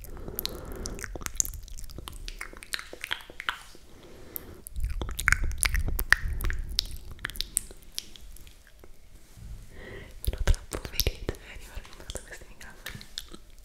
Sono troppo felice di aver comprato questi microfoni. Buonanotte.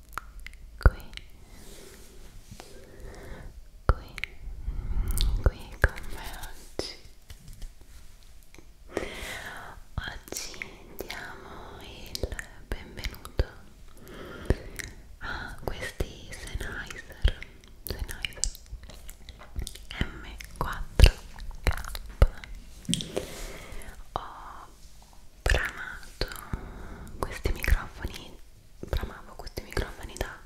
qui qui qui con me oggi oggi diamo il benvenuto a questi Sennheiser Sennheiser M4K ho bramato questi microfoni bramavo questi microfoni da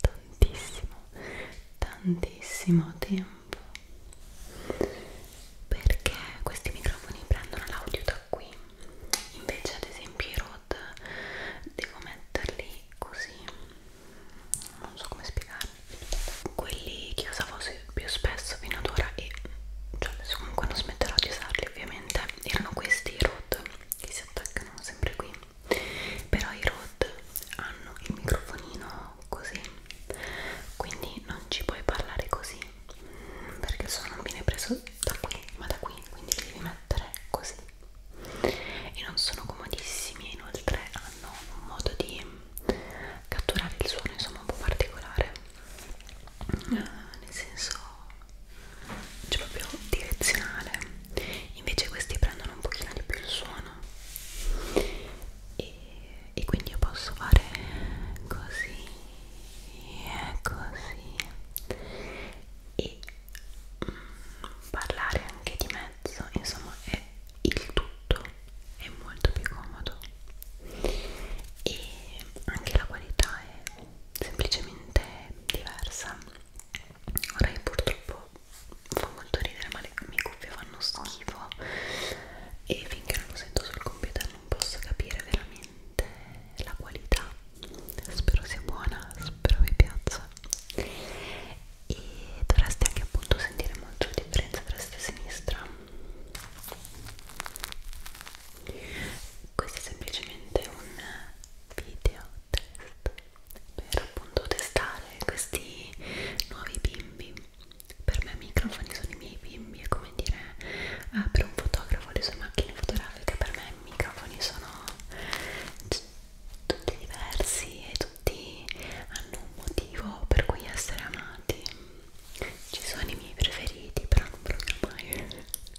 tantissimo tantissimo tempo perché questi microfoni prendono l'audio da qui invece ad esempio i Rode devo metterli così non so come spiegarmi quelli che usavo più spesso fino ad ora e cioè adesso comunque non smetterò di usarli ovviamente praticamente erano questi i rod che si attaccano sempre qui però i rod hanno il microfonino così quindi non ci puoi parlare così perché se non viene preso da qui ma da qui quindi li devi mettere così e non sono comodissimi inoltre hanno un modo di catturare il suono insomma un po' particolare Ah, nel senso cioè proprio direzionale invece questi prendono un pochino di più il suono e, e quindi io posso fare così e così e mm, parlare anche di mezzo insomma è il tutto è molto più comodo e anche la qualità è semplicemente diversa ora io purtroppo fa molto ridere ma le mie cuffie fanno schifo e finché non lo sento sul computer non posso capire veramente la qualità spero sia buona spero vi piaccia e dovreste anche appunto sentire molto la differenza tra destra e sinistra questo è semplicemente un video test per appunto testare questi nuovi bimbi per me i microfoni sono i miei bimbi è come dire ah, per un fotografo le sue macchine fotografiche per me i microfoni sono tutti diversi e tutti hanno un motivo per cui essere amati ci sono i miei preferiti però non proprio mai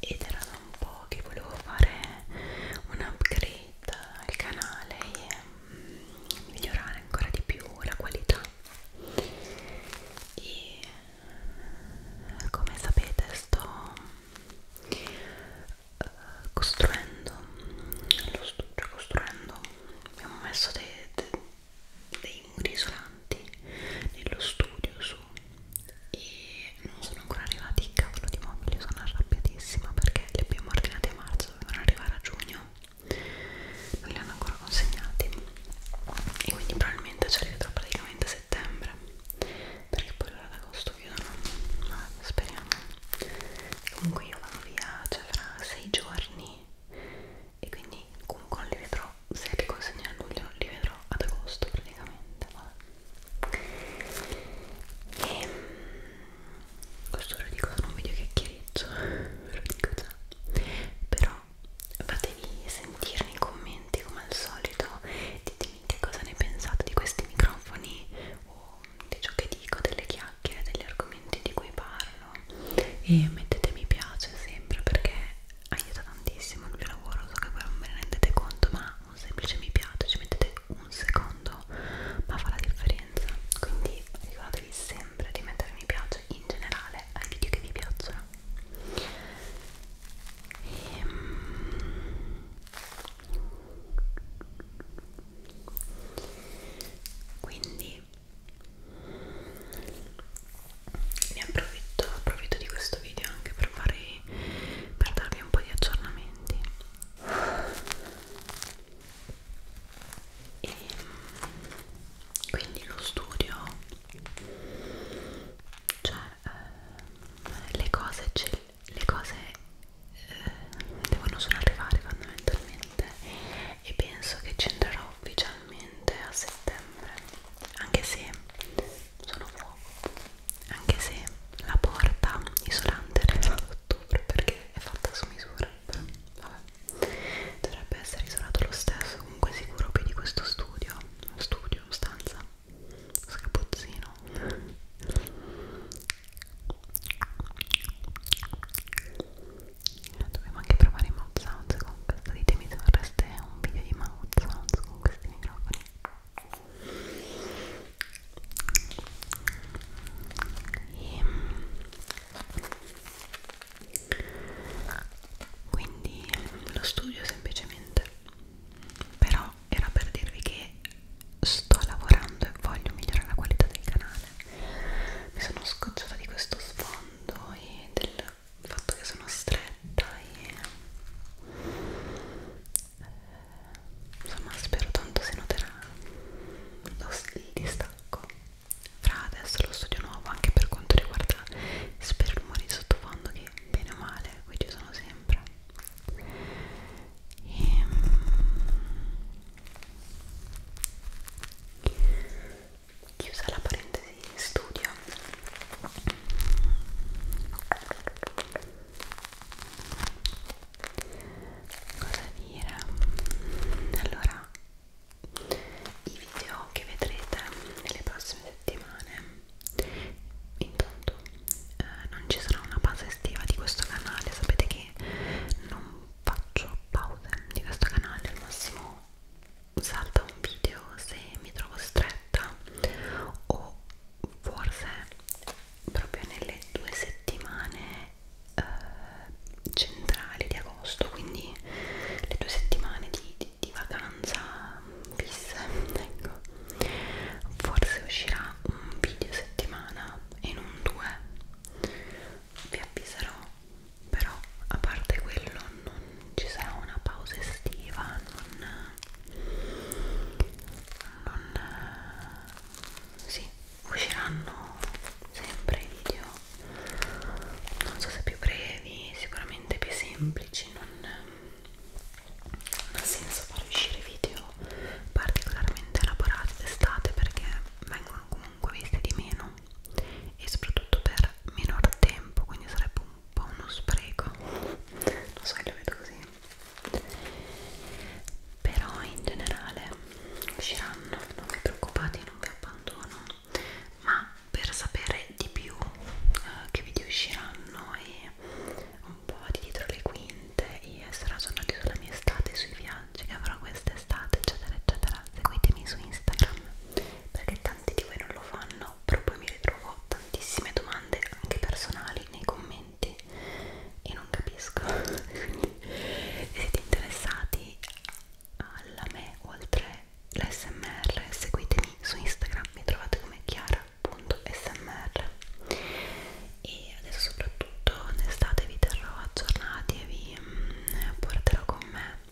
ed era da un po' che volevo fare un upgrade al canale e mm, migliorare ancora di più la qualità e mm, come sapete sto eh, costruendo mm, lo sto costruendo abbiamo messo dei, dei dei muri isolanti nello studio su e non sono ancora arrivati cavolo di mobili sono arrabbiatissima perché li abbiamo ordinati a marzo dovevano arrivare a giugno non li hanno ancora consegnati e quindi probabilmente ci arriverà praticamente a settembre perché poi l'ora d'agosto chiudono ma speriamo comunque io vado via cioè fra sei giorni e quindi comunque non li vedrò se li consegno a luglio li vedrò ad agosto praticamente vabbè. e ehm, questo lo dico non video chiacchiereggio ve lo dico già però fatevi sentire nei commenti come al solito ditemi che cosa ne pensate di questi microfoni o di ciò che dico delle chiacchiere degli argomenti di cui parlo bello e mettete mi piace sempre perché aiuta tantissimo il mio lavoro so che voi non ve ne rendete conto ma un semplice mi piace ci mettete un secondo ma fa la differenza quindi ricordatevi sempre di mettere mi piace in generale ai video che vi piacciono e, ehm, quindi ne approfitto, approfitto di questo video anche per, fare, per darvi un po' di aggiornamenti e quindi lo studio cioè eh, le cose le cose eh, devono solo arrivare fondamentalmente e penso che ci andrò ufficialmente a settembre anche se sono fuoco anche se la porta isolante era isolata ad ottobre perché è fatta su misura però vabbè dovrebbe essere isolato lo stesso comunque sicuro più di questo studio studio, stanza scapuzzino dovevo anche provare i mouth sounds con questo ditemi se vorreste un video di mouth sounds con questi microfoni e, ehm, quindi lo studio semplicemente però era per dirvi che sto lavorando e voglio migliorare la qualità del canale mi sono scocciata di questo sfondo e del il fatto che sono stretta e eh, insomma spero tanto si noterà lo, il distacco fra adesso lo studio nuovo anche per quanto riguarda spero rumori di sottofondo che bene o male qui ci sono sempre e, ehm, chiusa la parentesi in studio cosa dire allora i video che vedrete nelle prossime settimane intanto eh, non ci sarà una pausa estiva di questo canale sapete che non faccio pause di questo canale al massimo salta un video se mi trovo stretta o forse proprio nelle due settimane eh, centrali di agosto quindi le due settimane di, di, di vacanza fisse ecco forse uscirà un video settimana e non due vi avviserò però a parte quello non ci sarà una pausa estiva non, non sì usciranno sempre i video non so se più brevi sicuramente più semplici non, non ha senso far uscire video particolarmente elaborati d'estate perché vengono comunque visti di meno meno e soprattutto per minor tempo quindi sarebbe un po' uno spreco lo so che lo vedo così però in generale usciranno non vi preoccupate non vi abbandono ma per sapere di più eh, che video usciranno e un po' di dietro le quinte e essere aggiornati sulla mia estate sui viaggi che avrò quest'estate eccetera eccetera seguitemi su Instagram perché tanti di voi non lo fanno, però poi mi ritrovo tantissime domande anche personali nei commenti e non capisco. Quindi, se siete interessati alla me oltre l'SMR, seguitemi su Instagram, mi trovate come chiara.smr e adesso soprattutto in estate vi terrò aggiornati e vi mm, porterò con me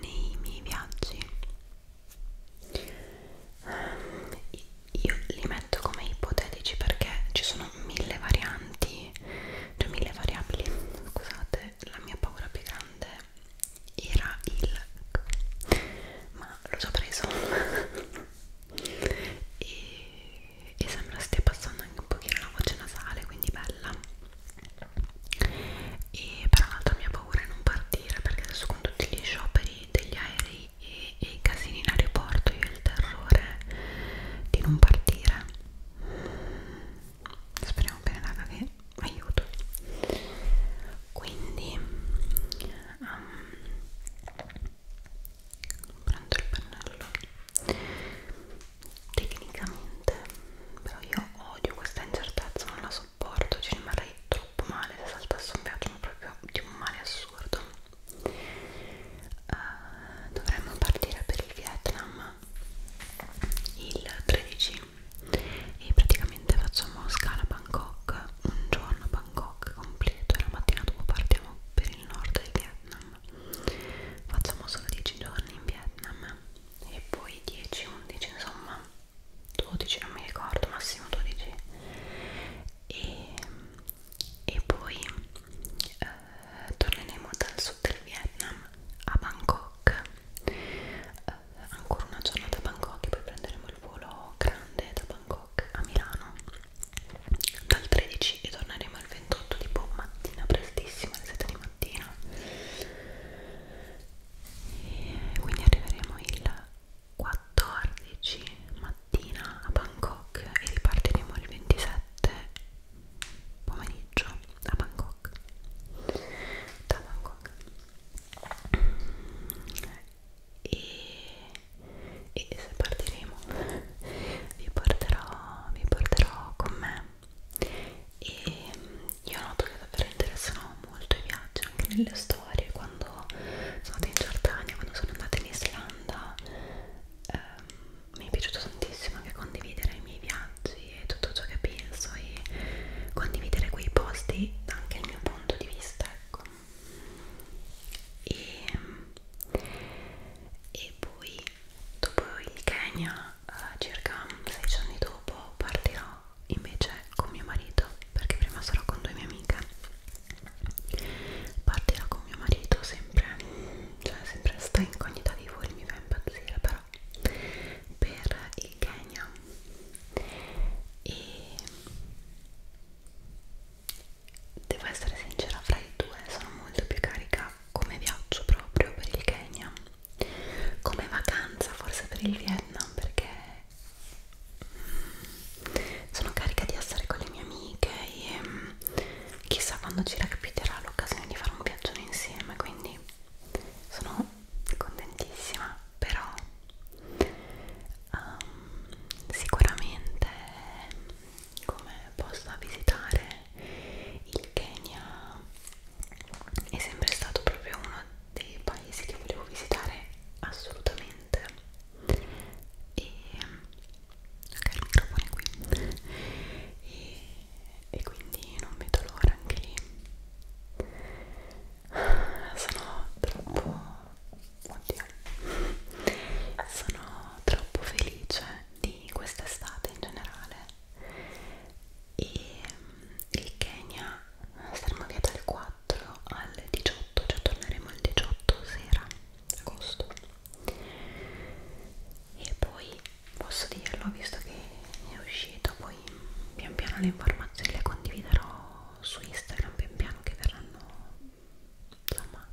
nei miei viaggi ehm, io li metto come ipotetici perché ci sono mille varianti cioè mille variabili scusate la mia paura più grande era il ma l'ho già preso e, e sembra stia passando anche un pochino la voce nasale quindi bella e però l'altra mia paura è non partire perché adesso con tutti gli scioperi degli aerei e, e i casini in aeroporto io ho il terrore di non partire speriamo bene raga che aiuto quindi um, prendo il pennello tecnicamente però io odio questa incertezza non la sopporto ci rimarrei troppo male se saltasse un viaggio ma proprio di un male assurdo uh, dovremmo partire per il Vietnam il 13 e praticamente facciamo scala a Bangkok un giorno a Bangkok completo e la mattina dopo partiamo per il nord del Vietnam facciamo solo 10 giorni in Vietnam e poi 10, 11 insomma 12 non mi ricordo massimo 12 e, e poi eh, torneremo dal sud del Vietnam a Bangkok eh, ancora una giornata a Bangkok e poi prenderemo il volo grande da Bangkok a Milano dal 13 e torneremo il 28 tipo mattina prestissimo alle 7 di mattina e quindi arriveremo il 14 mattina a Bangkok e ripartiremo il 27 pomeriggio a Bangkok da Bangkok e, e se partiremo vi porterò, vi porterò con me e mm, io noto che davvero interessano molto i viaggi anche nelle storie quando sono andata in Giordania, quando sono andata in Islanda ehm, mi è piaciuto tantissimo anche condividere i miei viaggi e tutto ciò che penso e condividere quei posti anche il mio punto di vista ecco e, mm, e poi dopo il Kenya eh, circa 16 anni dopo partirò invece con mio marito perché prima sarò con due mie amiche partirò con mio marito sempre cioè sempre sta incognita di voi mi fa impazzire però per il Kenya e devo essere sincera fra i due sono molto più carica come viaggio proprio per il Kenya come vacanza forse per il Vietnam perché mm, sono carica di essere con le mie amiche e mm, chissà quando ci recapiterà l'occasione di fare un viaggio insieme quindi sono contentissima però um, sicuramente come possa visitare il Kenya è sempre stato proprio uno dei paesi che volevo visitare assolutamente e ok il microfono è qui e, e quindi non vedo l'ora anche lì sono troppo oddio sono troppo felice di quest'estate in generale e mm, il Kenya saremo via dal 4 al 18 cioè torneremo il 18 sera agosto e poi posso dirlo visto che è uscito poi pian piano le informazioni le condividerò su Instagram pian piano che verranno insomma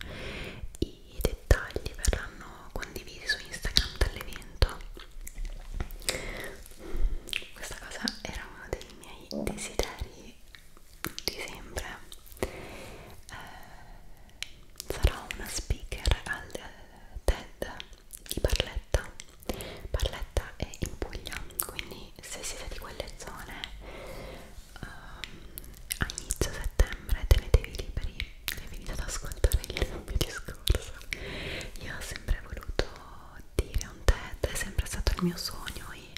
i i dettagli verranno condivisi su Instagram dall'evento questa cosa era uno dei miei desideri di sempre eh, sarò una speaker al TED di Barletta Barletta è in Puglia quindi se siete di quelle zone um, a inizio settembre tenetevi liberi sei venita ad ascoltare il mio discorso io ho sempre voluto dire un TED è sempre stato il mio sogno e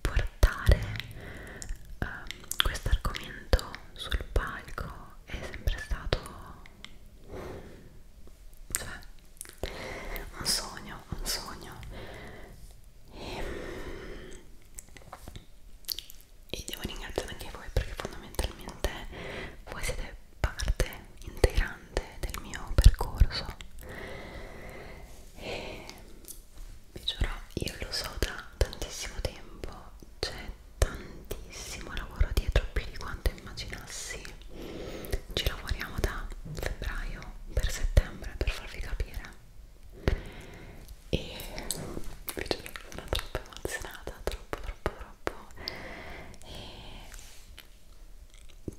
portare um, questo argomento sul palco è sempre stato cioè un sogno un sogno e ehm, e devo ringraziare anche voi perché fondamentalmente voi siete parte integrante del mio percorso e vi giuro io lo so da tantissimo tempo c'è tantissimo lavoro dietro più di quanto immaginassi ci lavoriamo da febbraio per settembre per farvi capire e vi giuro sono troppo emozionata, troppo troppo troppo e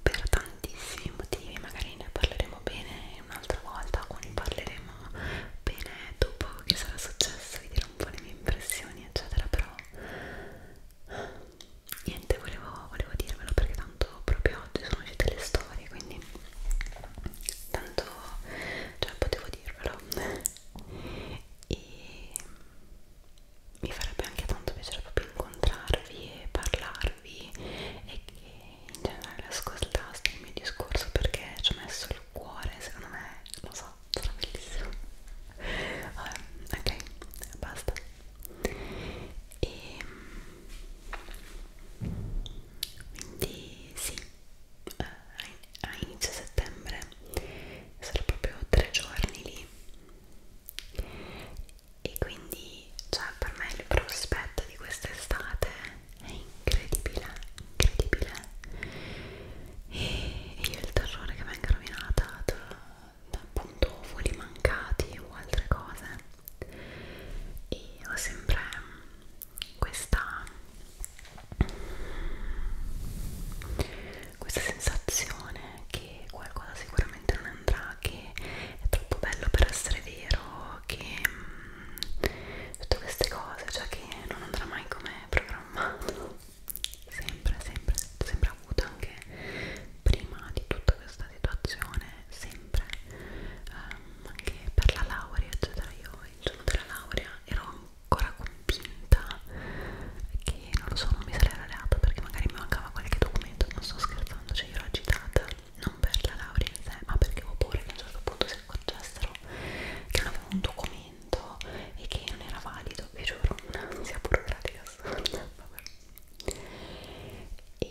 per tantissimi motivi, magari ne parleremo bene un'altra volta o ne parleremo bene dopo che sarà successo, vi dirò un po' le mie impressioni eccetera, però niente, volevo, volevo dirvelo perché tanto proprio oggi sono uscite le storie, quindi tanto, cioè potevo dirvelo e mi farebbe anche tanto piacere proprio incontrarvi e parlarvi e che in generale ascoltaste il mio discorso perché ci ho messo il cuore, secondo me, lo so, sarà bellissimo. Vabbè, ok, basta. E ehm, quindi sì, eh, a inizio settembre sarò proprio tre giorni lì e quindi cioè per me il prospetto di quest'estate è incredibile incredibile e, e io il terrore che venga rovinata da, da appunto voli mancati o altre cose e ho sempre questa, questa sensazione che qualcosa sicuramente non andrà, che è troppo bello per essere vero, che mh, mm, tutte queste cose, cioè che non andrà mai come programmato, sempre, sempre, sempre avuto anche prima di tutta questa situazione, sempre, um, anche per la laurea, eccetera, io il giorno della laurea ero ancora convinta che non lo so, non mi sarei laureata perché magari mi mancava qualche documento, non sto scherzando, cioè io l'ho agitata non per la laurea in sé, ma perché avevo paura che a un certo punto si accorgessero che non avevo un documento e che non era valido, vi giuro, non sia burocratica assurda, vabbè e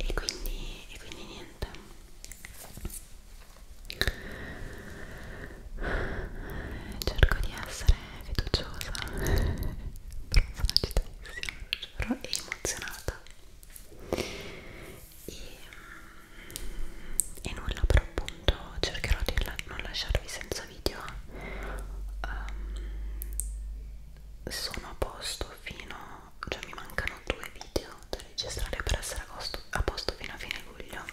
e quindi, e quindi niente cerco di essere fiduciosa però sono agitatissima però e emozionata e, e nulla però appunto cercherò di la non lasciarvi senza video um, sono a posto fino cioè mi mancano due video da registrare per essere a, costo, a posto fino a fine luglio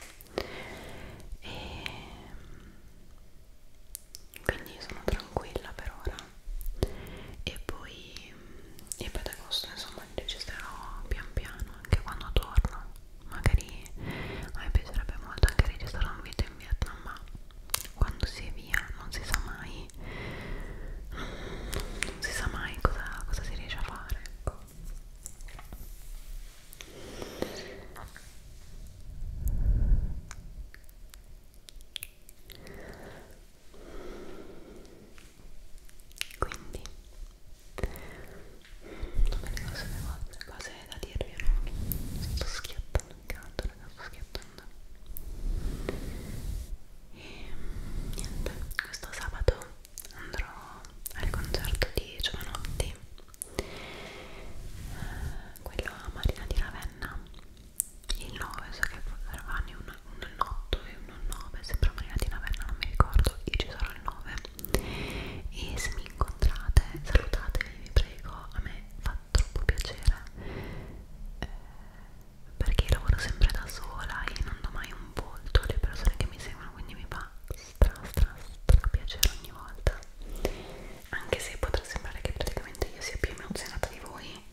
e mm, quindi sono tranquilla per ora e poi e mm, poi ad agosto insomma li registrerò pian piano anche quando torno magari a me piacerebbe molto anche registrare un video in Vietnam ma quando si è via non si sa mai quindi non si sa mai cosa, cosa si riesce a fare ecco. Quindi, non mi ricordo se avevo altre cose da dirvi o no. Sto schiattando in canto, ragazzi, sto schiattando e niente, questo sabato andrò al concerto di Giovanotti eh, quello a Marina di Ravenna il 9 so che faranno un, un 8 e un 9 sembra Marina di Ravenna non mi ricordo io ci sarò il 9 e se mi incontrate salutatevi vi prego a me fa troppo piacere eh, perché io lavoro sempre da sola e non do mai un volto alle persone che mi seguono quindi mi fa stra stra stra piacere ogni volta anche se potrà sembrare che praticamente io sia più emozionata di voi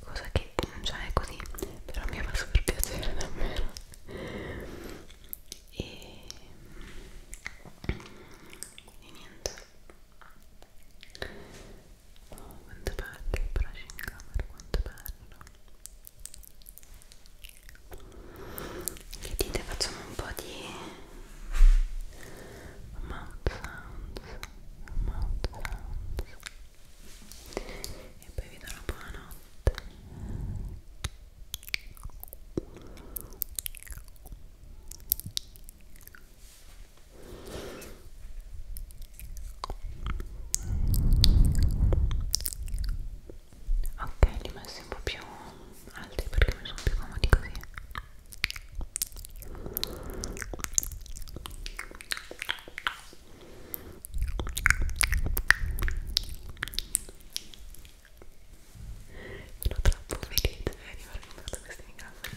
cosa che non c'è così però mi fa super piacere davvero e, e niente Oh, quanto è bello il brushing camera, quanto è bello. Che dite, facciamo un po' di mouth sounds, mouth sounds. E poi vi do una buonanotte. Buonanotte ok li ho messi un po' più alti perché mi sono più comodi così sono troppo felice di aver comprato questi microfoni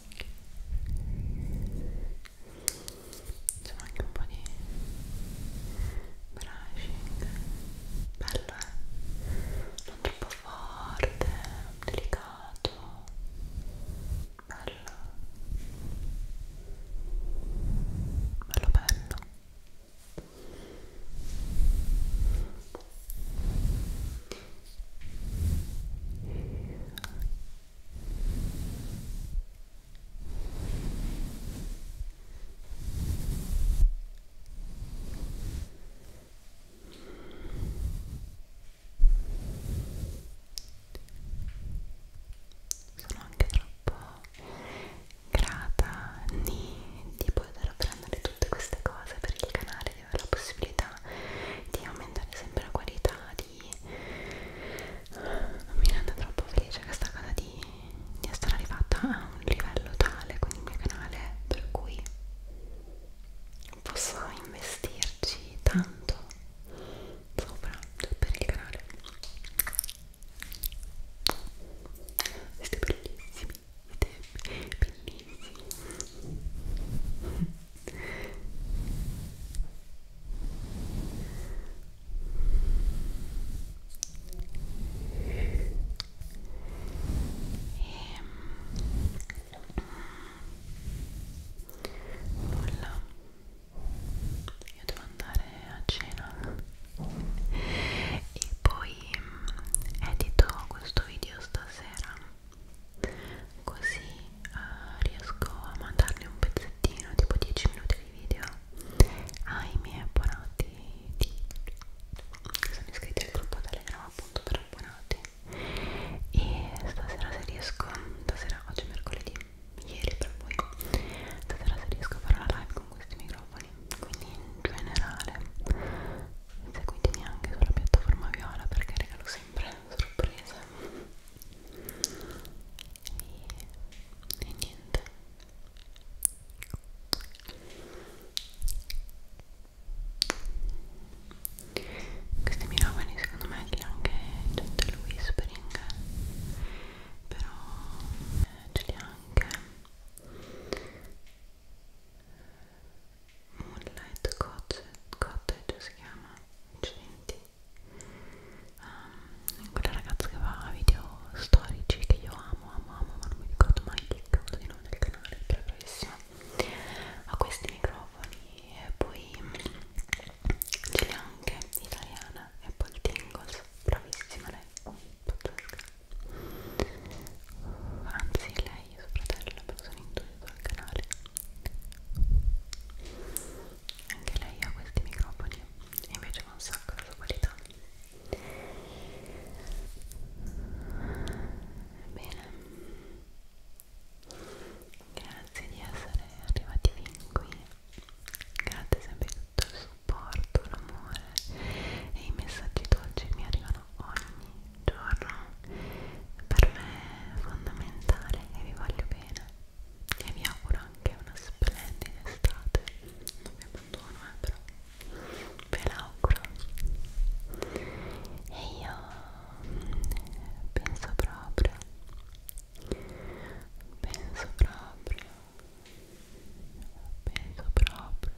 insomma anche un po' di brushing bello eh? non troppo forte delicato bello bello bello sono anche troppo grata di, di poter prendere tutte queste cose per il canale di avere la possibilità di aumentare sempre la qualità di mi rende troppo felice questa cosa di, di essere arrivata a un livello tale con il mio canale per cui posso investirci tanto sopra per il canale siete bellissimi siete bellissimi nulla io devo andare a cena e poi mm, edito questo video stasera così uh, riesco a mandarne un pezzettino tipo 10 minuti di video ai miei abbonati di, che sono iscritti al gruppo Telegram appunto per abbonati e stasera se riesco stasera oggi è mercoledì ieri per voi stasera se riesco a fare la live con questi microfoni quindi in generale seguitemi anche sulla piattaforma viola perché regalo sempre sempre sorprese e, e niente questi miracoli secondo me che anche gente il whispering però eh, ce li ha anche Moonlight Cottage, Cottage si chiama Incidenti um, quella ragazza che fa video storici che io amo, amo, amo ma non mi ricordo mai il cavolo di nome del canale è bravissima ha questi microfoni e poi mm, ce l'ha anche italiana e poi il tingles bravissima lei pazzesca anzi lei lei e suo fratello perché sono in due sul canale anche lei ha questi microfoni e invece va un sacco la sua qualità bene grazie di essere arrivati fin qui grazie sempre di tutto il supporto l'amore e i messaggi dolci mi arrivano ogni giorno per me è fondamentale e vi voglio bene e vi auguro anche una splendida estate non vi abbandono eh, però ve l'auguro e io mm, penso proprio penso proprio penso proprio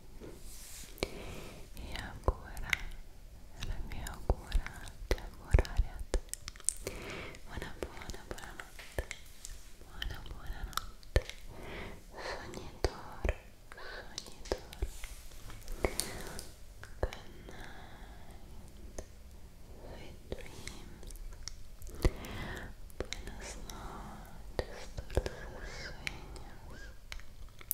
e ancora la mia augura di lavorare a te una buona buona notte buona buona notte sogni d'oro sogni d'oro good night sweet dreams buenas noches dulces sueños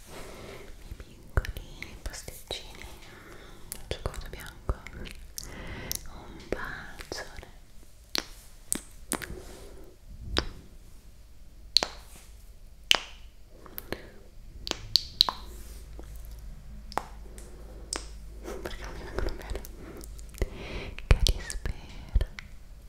i piccoli pasticcini un cioccolato bianco un bacione perché non mi vengono bene che ti spero